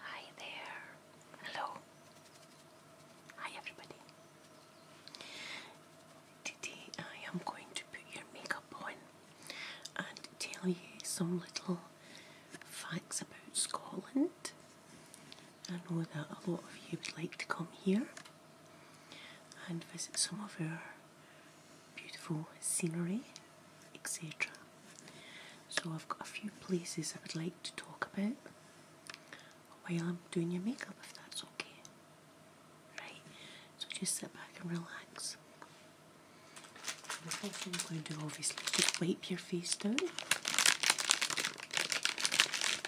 Hi there. Hello. Hi everybody. Today I am going to put your makeup on and tell you some little facts about Scotland I know that a lot of you would like to come here and visit some of our beautiful scenery, etc. So I've got a few places I would like to talk about while I'm doing your makeup, if that's okay. Right, so just sit back and relax. The first thing I'm going to do, obviously, just wipe your face down.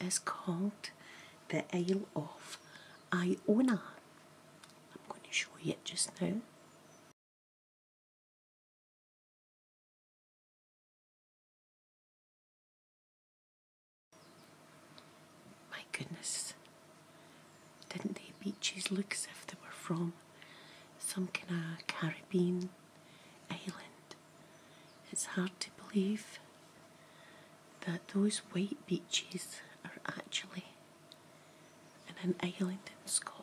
is called the Isle of Iona. I'm going to show you it just now. My goodness, didn't the beaches look as if they were from some kind of Caribbean island? It's hard to believe that those white beaches are actually an island in Scotland.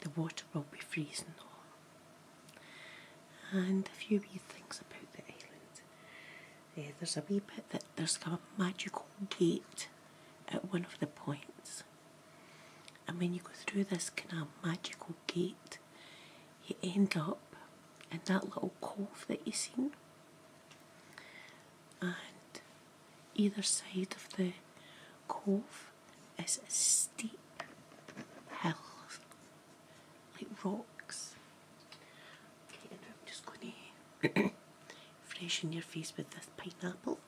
The water will be freezing And a few wee things about the island. Eh, there's a wee bit that there's a magical gate at one of the points. And when you go through this kind of magical gate, you end up in that little cove that you seen. And either side of the cove is a steep hill, like rocks. Okay, and I'm just going to freshen your face with this pineapple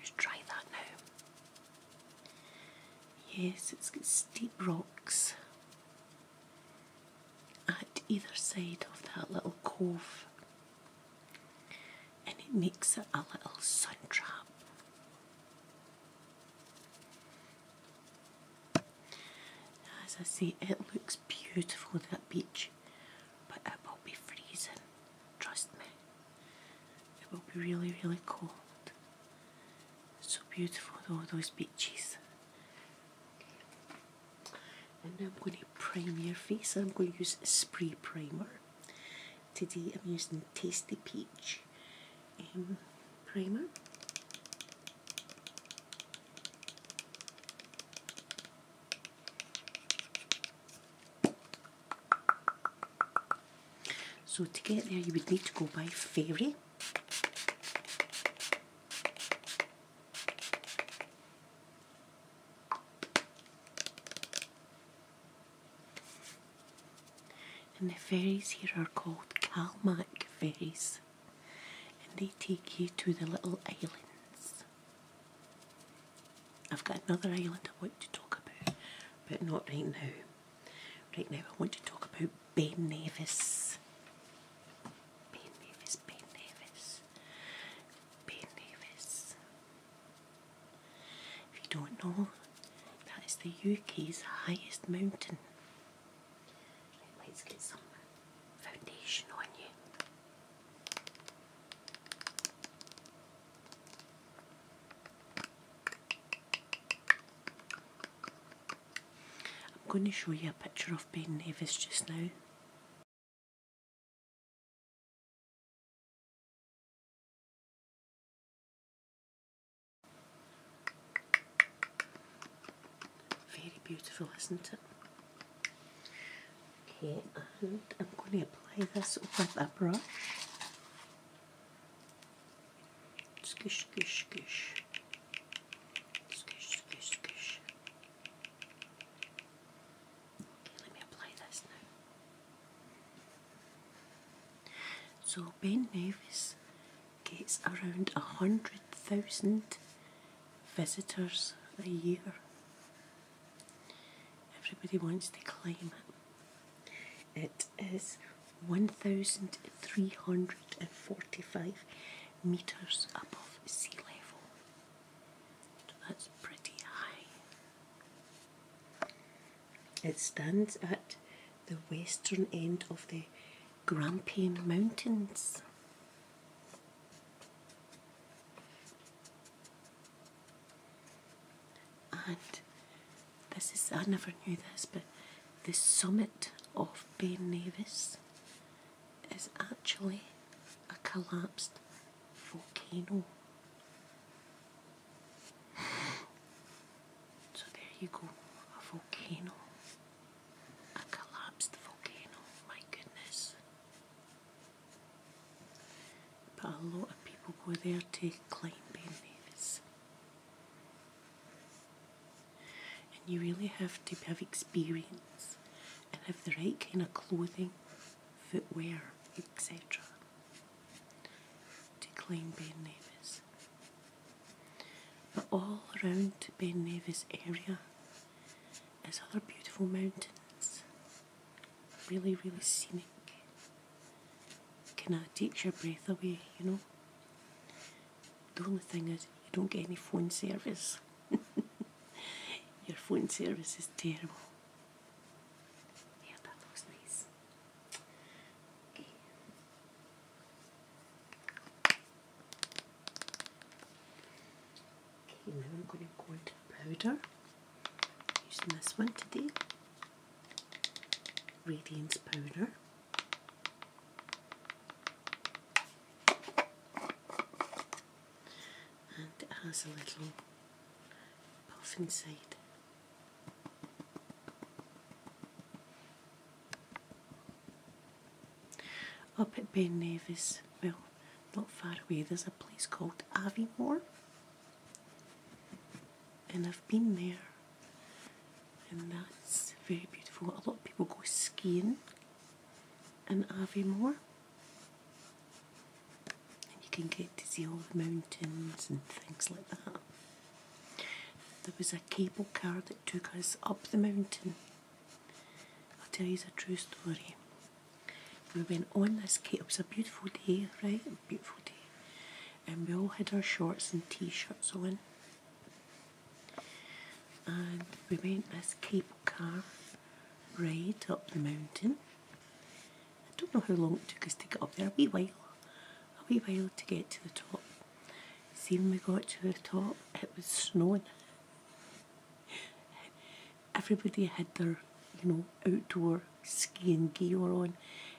just try that now. Yes, it's got steep rocks at either side of that little cove, and it makes it a little sun trap. As I say, it looks beautiful that beach, but it will be freezing, trust me. It will be really, really cold. so beautiful all those beaches. And I'm going to prime your face. I'm going to use spray primer. Today I'm using Tasty Peach um, primer. So to get there you would need to go by ferry. And the fairies here are called Kalmak ferries and they take you to the little islands. I've got another island I want to talk about, but not right now. Right now, I want to talk about Ben Nevis. Ben Nevis, Ben Nevis, Ben Nevis. If you don't know, that is the UK's highest mountain let's get some foundation on you. I'm going to show you a picture of Ben Nevis just now. Very beautiful, isn't it? Okay, and I'm going to apply this with a brush. Squish, squish, squish. Squish, squish, squish. Okay, let me apply this now. So, Ben Nevis gets around 100,000 visitors a year. Everybody wants to climb it. It is 1,345 metres above sea level. that's pretty high. It stands at the western end of the Grampian Mountains and this is, I never knew this, but the summit of Ben Nevis is actually a collapsed volcano. So there you go, a volcano. A collapsed volcano, my goodness. But a lot of people go there to climb Ben Nevis. And you really have to have experience and have the right kind of clothing, footwear, etc. to climb Ben Nevis. But all around Ben Nevis area is other beautiful mountains, really, really scenic. Kind of takes your breath away, you know. The only thing is, you don't get any phone service. your phone service is terrible now I'm going to go into powder using this one today, Radiance Powder. And it has a little puff inside. Up at Ben Nevis, well, not far away, there's a place called Aviemore, and I've been there, and that's very beautiful. A lot of people go skiing in Aviemore, and you can get to see all the mountains and things like that. There was a cable car that took us up the mountain. I'll tell you a true story. We went on this cake, it was a beautiful day, right? beautiful day. And we all had our shorts and t shirts on. And we went this cable car right up the mountain. I don't know how long it took us to get up there, a wee while. A wee while to get to the top. See, when we got to the top, it was snowing. Everybody had their, you know, outdoor skiing gear on,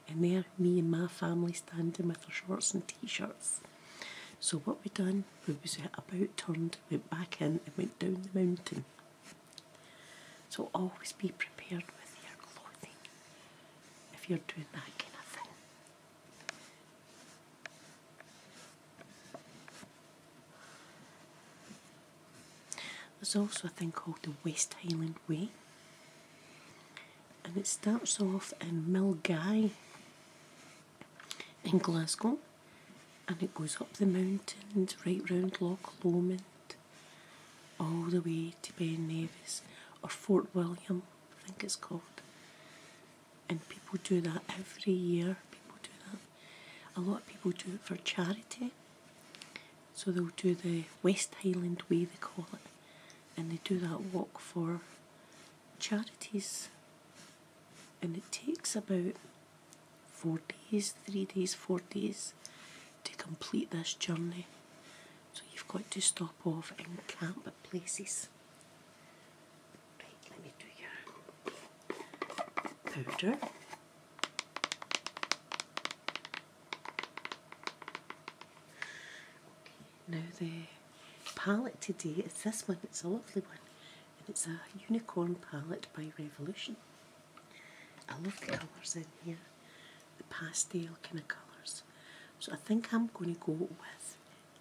and there, me and my family standing with our shorts and t-shirts. So what we done, we was about turned, went back in, and went down the mountain. So always be prepared with your clothing if you're doing that kind of thing. There's also a thing called the West Highland Way, and it starts off in Milngay in Glasgow, and it goes up the mountains right round Loch Lomond, all the way to Ben Nevis or Fort William, I think it's called, and people do that every year. People do that. A lot of people do it for charity. So they'll do the West Highland Way, they call it, and they do that walk for charities. And it takes about four days, three days, four days to complete this journey. So you've got to stop off and camp at places. Right, let me do your powder. Okay, now the palette today is this one, it's a lovely one. And it's a unicorn palette by Revolution. I love the colours in here, the pastel kind of colours. So I think I'm going to go with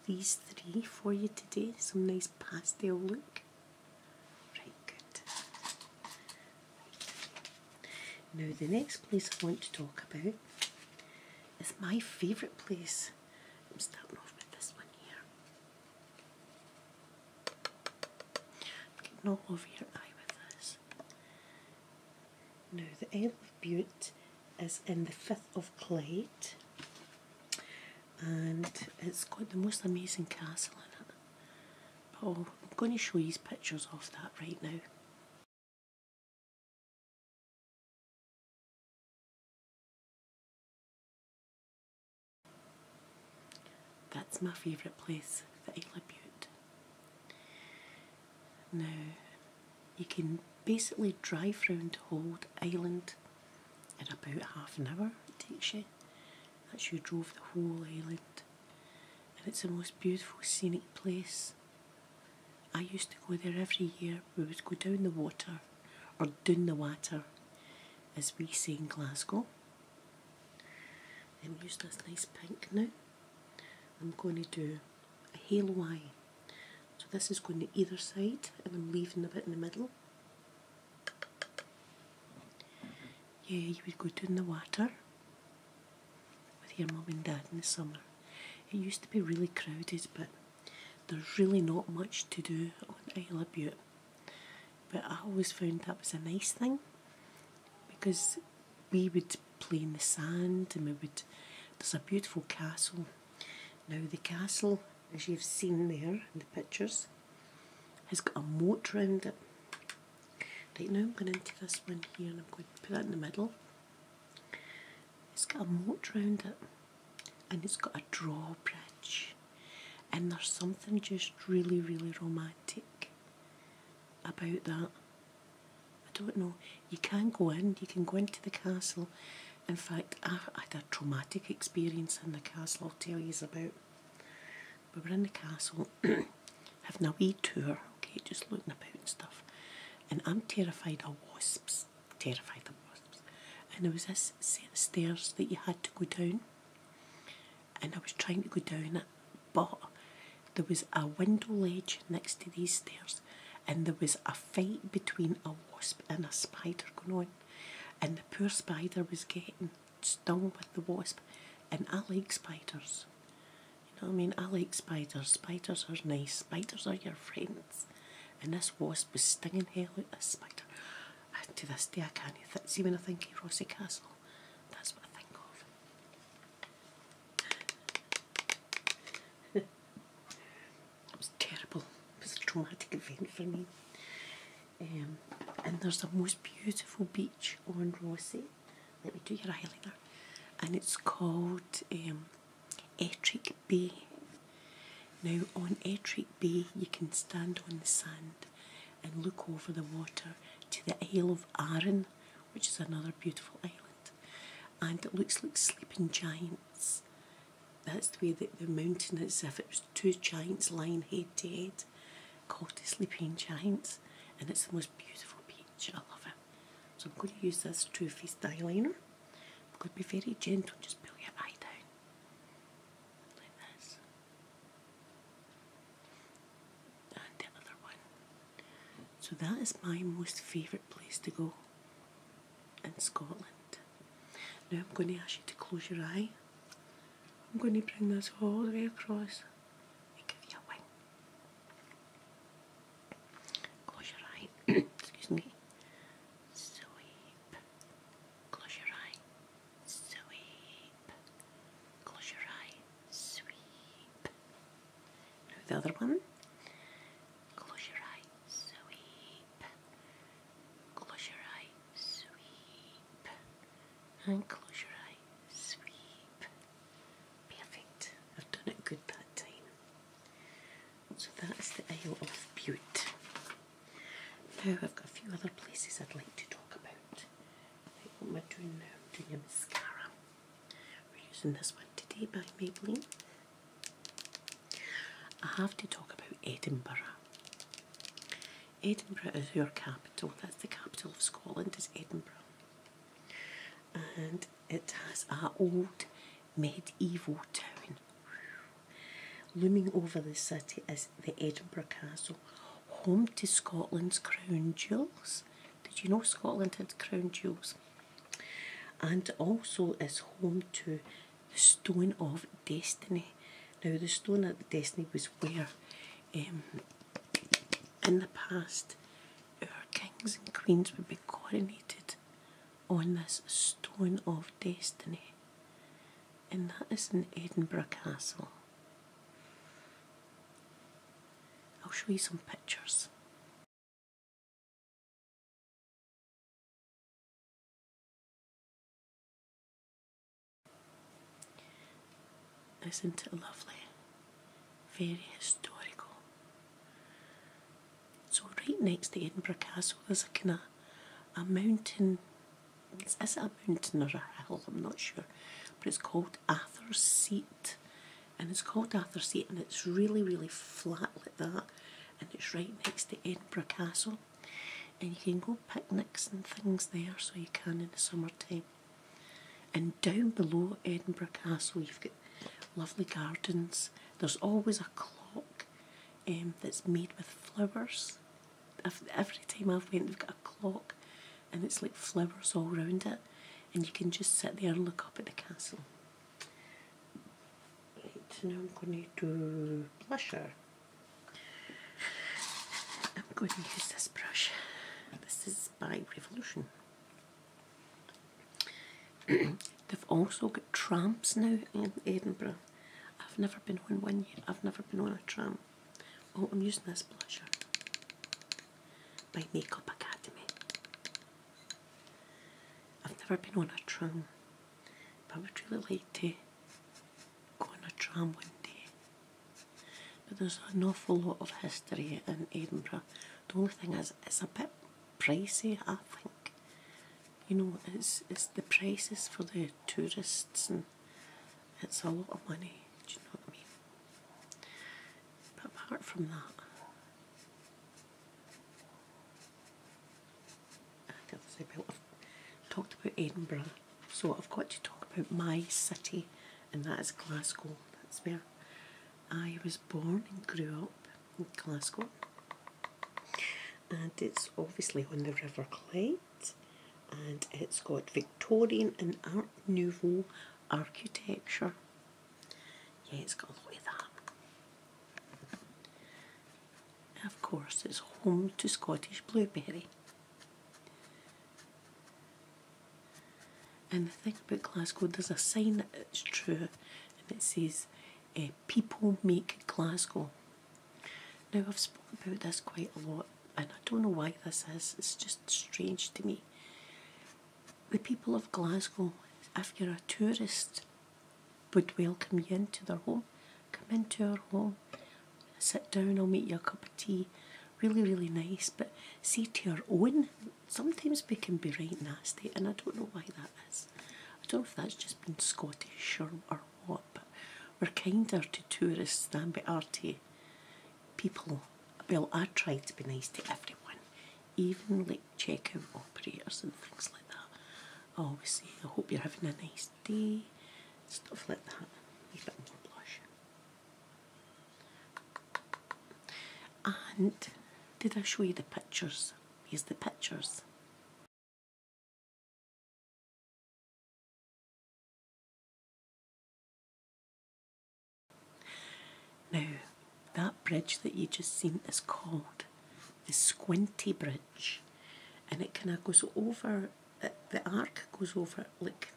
these three for you today. Some nice pastel look. Right, good. Now, the next place I want to talk about is my favourite place. I'm starting off with this one here. i over your eye with this. Now, the Isle of Bute is in the 5th of Clyde and it's got the most amazing castle in it. oh, I'm going to show you pictures of that right now. That's my favourite place, the Isla Butte. Now, you can basically drive around the whole island in about half an hour it takes you. That's you drove the whole island. And it's the most beautiful scenic place. I used to go there every year. We would go down the water, or down the water, as we say in Glasgow. Then we use this nice pink now. I'm going to do a halo eye. So this is going to either side, and I'm leaving a bit in the middle. Yeah, you would go down the water with your mum and dad in the summer. It used to be really crowded, but there's really not much to do on Isle of Butte. But I always found that was a nice thing because we would play in the sand and we would. There's a beautiful castle. Now, the castle as you've seen there in the pictures, has got a moat round it. Right now I'm going into this one here and I'm going to put that in the middle. It's got a moat round it and it's got a drawbridge and there's something just really really romantic about that. I don't know, you can not go in, you can go into the castle in fact, I had a traumatic experience in the castle I'll tell you about. We were in the castle having a tour, okay, just looking about and stuff. And I'm terrified of wasps, terrified of wasps. And there was this set of stairs that you had to go down. And I was trying to go down it, but there was a window ledge next to these stairs and there was a fight between a wasp and a spider going on and the poor spider was getting stung with the wasp. And I like spiders. You know what I mean? I like spiders. Spiders are nice. Spiders are your friends. And this wasp was stinging hell out this spider. And to this day I can't th see when I think of Rossi Castle. That's what I think of. It was terrible. It was a traumatic event for me. Um, and there's the most beautiful beach on Rossi. Let me do your eyeliner. And it's called um, Ettrick Bay. Now on Ettrick Bay you can stand on the sand and look over the water to the Isle of Arran, which is another beautiful island. And it looks like sleeping giants that's the way that the mountain is, if it was two giants lying head to head, called the Sleeping Giants, and it's the most beautiful beach. I love it. So I'm going to use this Too Faced eyeliner. I'm going to be very gentle, just pull your eye down like this. And the one. So that is my most favourite place to go in Scotland. Now I'm going to ask you to close your eye. I'm going to bring this all the way across and give you a wing. Close your eye. Excuse me. Sweep. Close your eye. Sweep. Close your eye. Sweep. the other one. Close your eye sweep. Close your eyes, sweep. And close your eyes, sweep. Perfect. I've done it good that time. So that's the Isle of Beaut. Now I've got a few other places I'd like to talk about. what am I doing now? I'm doing a mascara. We're using this one today by Maybelline. I have to talk about Edinburgh. Edinburgh is your capital, that's the capital of Scotland, is Edinburgh. And it has a old medieval town. Looming over the city is the Edinburgh Castle, home to Scotland's crown jewels. Did you know Scotland had crown jewels? And also is home to the Stone of Destiny. Now, the Stone of Destiny was where, um, in the past, our kings and queens would be coronated on this Stone of Destiny, and that is in Edinburgh Castle. I'll show you some pictures. Isn't it lovely? Very historical. So right next to Edinburgh Castle there's a kind of a mountain, is it a mountain or a hill? I'm not sure. But it's called Ather's Seat. And it's called Ather's Seat and it's really, really flat like that. And it's right next to Edinburgh Castle. And you can go picnics and things there, so you can in the summertime. And down below Edinburgh Castle, you've got lovely gardens. There's always a clock um, that's made with flowers. every time I've went, they've got a clock, and it's like flowers all round it, and you can just sit there and look up at the castle. Right, now I'm going to do I'm going to use this brush. This is by Revolution. They've also got trams now in Edinburgh. I've never been on one I've never been on a tram. Oh, I'm using this blusher by Makeup Academy. I've never been on a tram. But I would really like to go on a tram one day. But there's an awful lot of history in Edinburgh. The only thing is, it's a bit pricey, I think. You know, it's, it's the prices for the tourists and it's a lot of money, do you know what I mean? But apart from that, I've talked about Edinburgh, so I've got to talk about my city, and that is Glasgow. That's where I was born and grew up in Glasgow. And it's obviously on the River Clyde, and it's got Victorian and Art Nouveau architecture. Yeah, it's got a of that of course it's home to Scottish blueberry. And the thing about Glasgow, there's a sign that's true and it says eh, people make Glasgow. Now I've spoken about this quite a lot and I don't know why this is, it's just strange to me. The people of Glasgow, if you're a tourist would welcome you into their home. Come into their home, sit down, I'll make you a cup of tea. Really, really nice, but see to your own. Sometimes we can be right nasty, and I don't know why that is. I don't know if that's just been Scottish or, what, but we're kinder to tourists than we are to people. Well, I try to be nice to everyone, even like checkout operators and things like that. I always say, I hope you're having a nice pasty, stuff like that. And did I show you the pictures? Here's the pictures. Now, that bridge that you just seen is called the Squinty Bridge, and it kind of goes over. the arc goes over like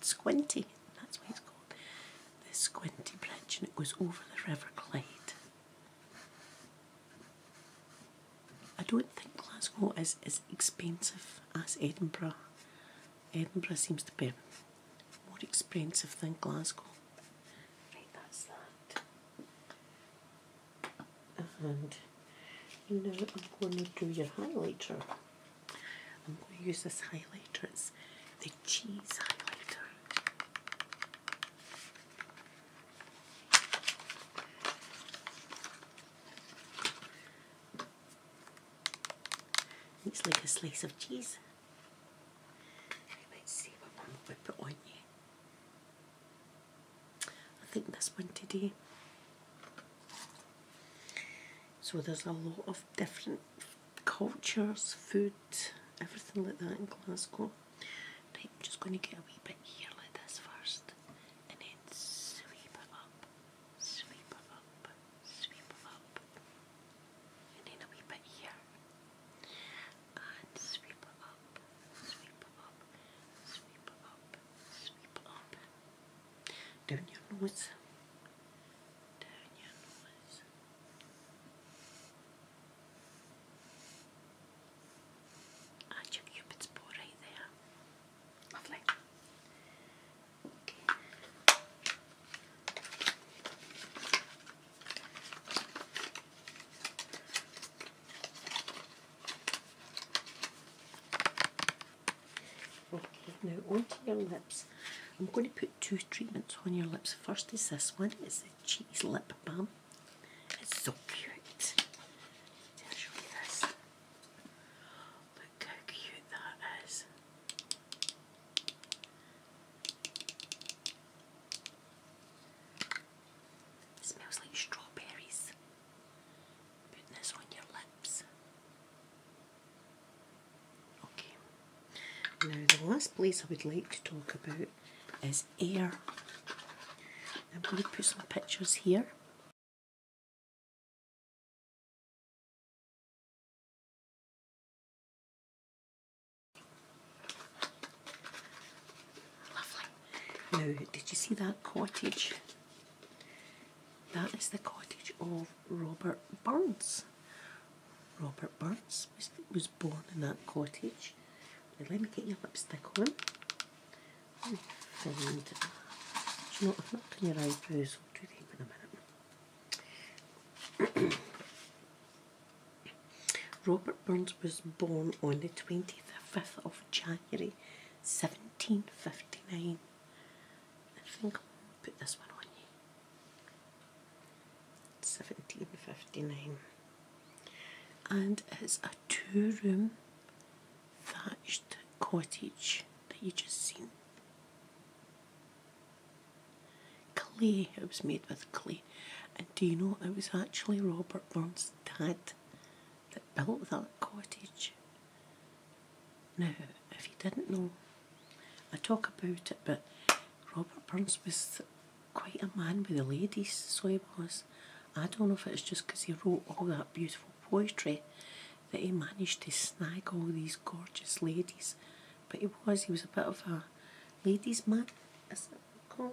Squinty. That's why it's called. The Squinty Bridge, and it goes over the River Clyde. I don't think Glasgow is as expensive as Edinburgh. Edinburgh seems to be more expensive than Glasgow. that's that and now I'm going to do your highlighter. I'm going to use this highlighter, it's the cheese highlighter. It's like a slice of cheese. You might see what mum would put on you. I think that's one today. So there's a lot of different cultures, food, everything like that in Glasgow. Right, I'm just going to get a wee bit here like this first and then sweep it up, sweep it up, sweep it up, and then a wee bit here and sweep it up, sweep it up, sweep up, sweep up. do your nose, down your And your cupid's bow right there. Lovely. Okay. Okay, now onto your lips. I'm going to put two treatments on your lips. First is this one, it's the Cheese Lip Balm. It's so cute. I'll show you this. Look how cute that is. smells like strawberries. Putting this on your lips. Okay. Now the last place I would like to talk about is air. I'm going to put some pictures here. Now, did you see that cottage? That is the cottage of Robert Burns. Robert Burns was, born in that cottage. let me get your lipstick on. Oh, do not done your eyebrows. I'll do them in a minute. Robert Burns was born on the 25th of January 1759. I think I'll put this one on you. 1759. And it's a two room thatched cottage that you just seen. Clay, it was made with clay. And do you know it was actually Robert Burns' dad that built that cottage. Now, if you didn't know, I talk about it, but Robert Burns was quite a man with the ladies, so he was. I don't know if it's just because he wrote all that beautiful poetry that he managed to snag all these gorgeous ladies, but he was, he was a bit of a ladies man, I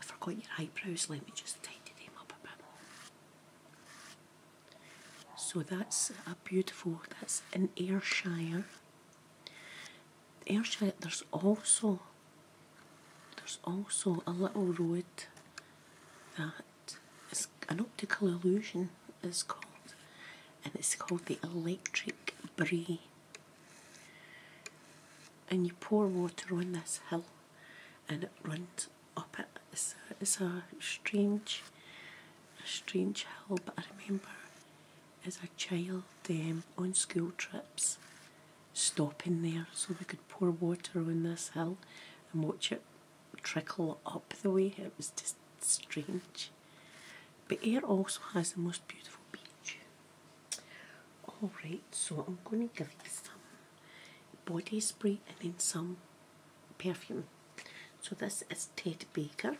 forgot your eyebrows. Let me just tidy them up a bit more. So that's a beautiful. That's in Ayrshire. Ayrshire. There's also there's also a little road that is an optical illusion is called and it's called the electric brie and you pour water on this hill and it runs up it. It's a, strange, a strange hill, but I remember as a child um, on school trips stopping there so we could pour water on this hill and watch it trickle up the way. It was just strange. But Ayr also has the most beautiful beach. Alright, so I'm going to give you some body spray and then some perfume. So this is Ted Baker.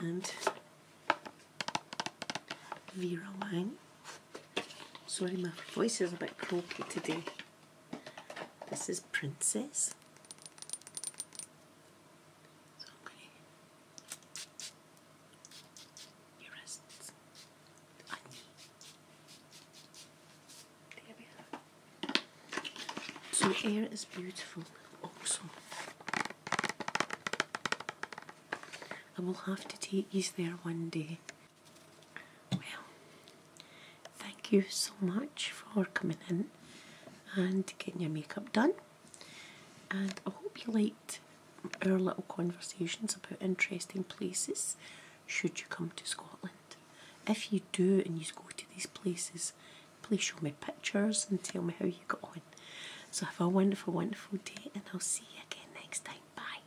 and Vera Wang. Sorry, my voice is a bit croaky today. This is Princess. So air is beautiful also. I will have to take you there one day. Well, thank you so much for coming in and getting your makeup done. And I hope you liked our little conversations about interesting places should you come to Scotland. If you do and you go to these places, please show me pictures and tell me how you got on. So have a wonderful, wonderful day and I'll see you again next time. Bye.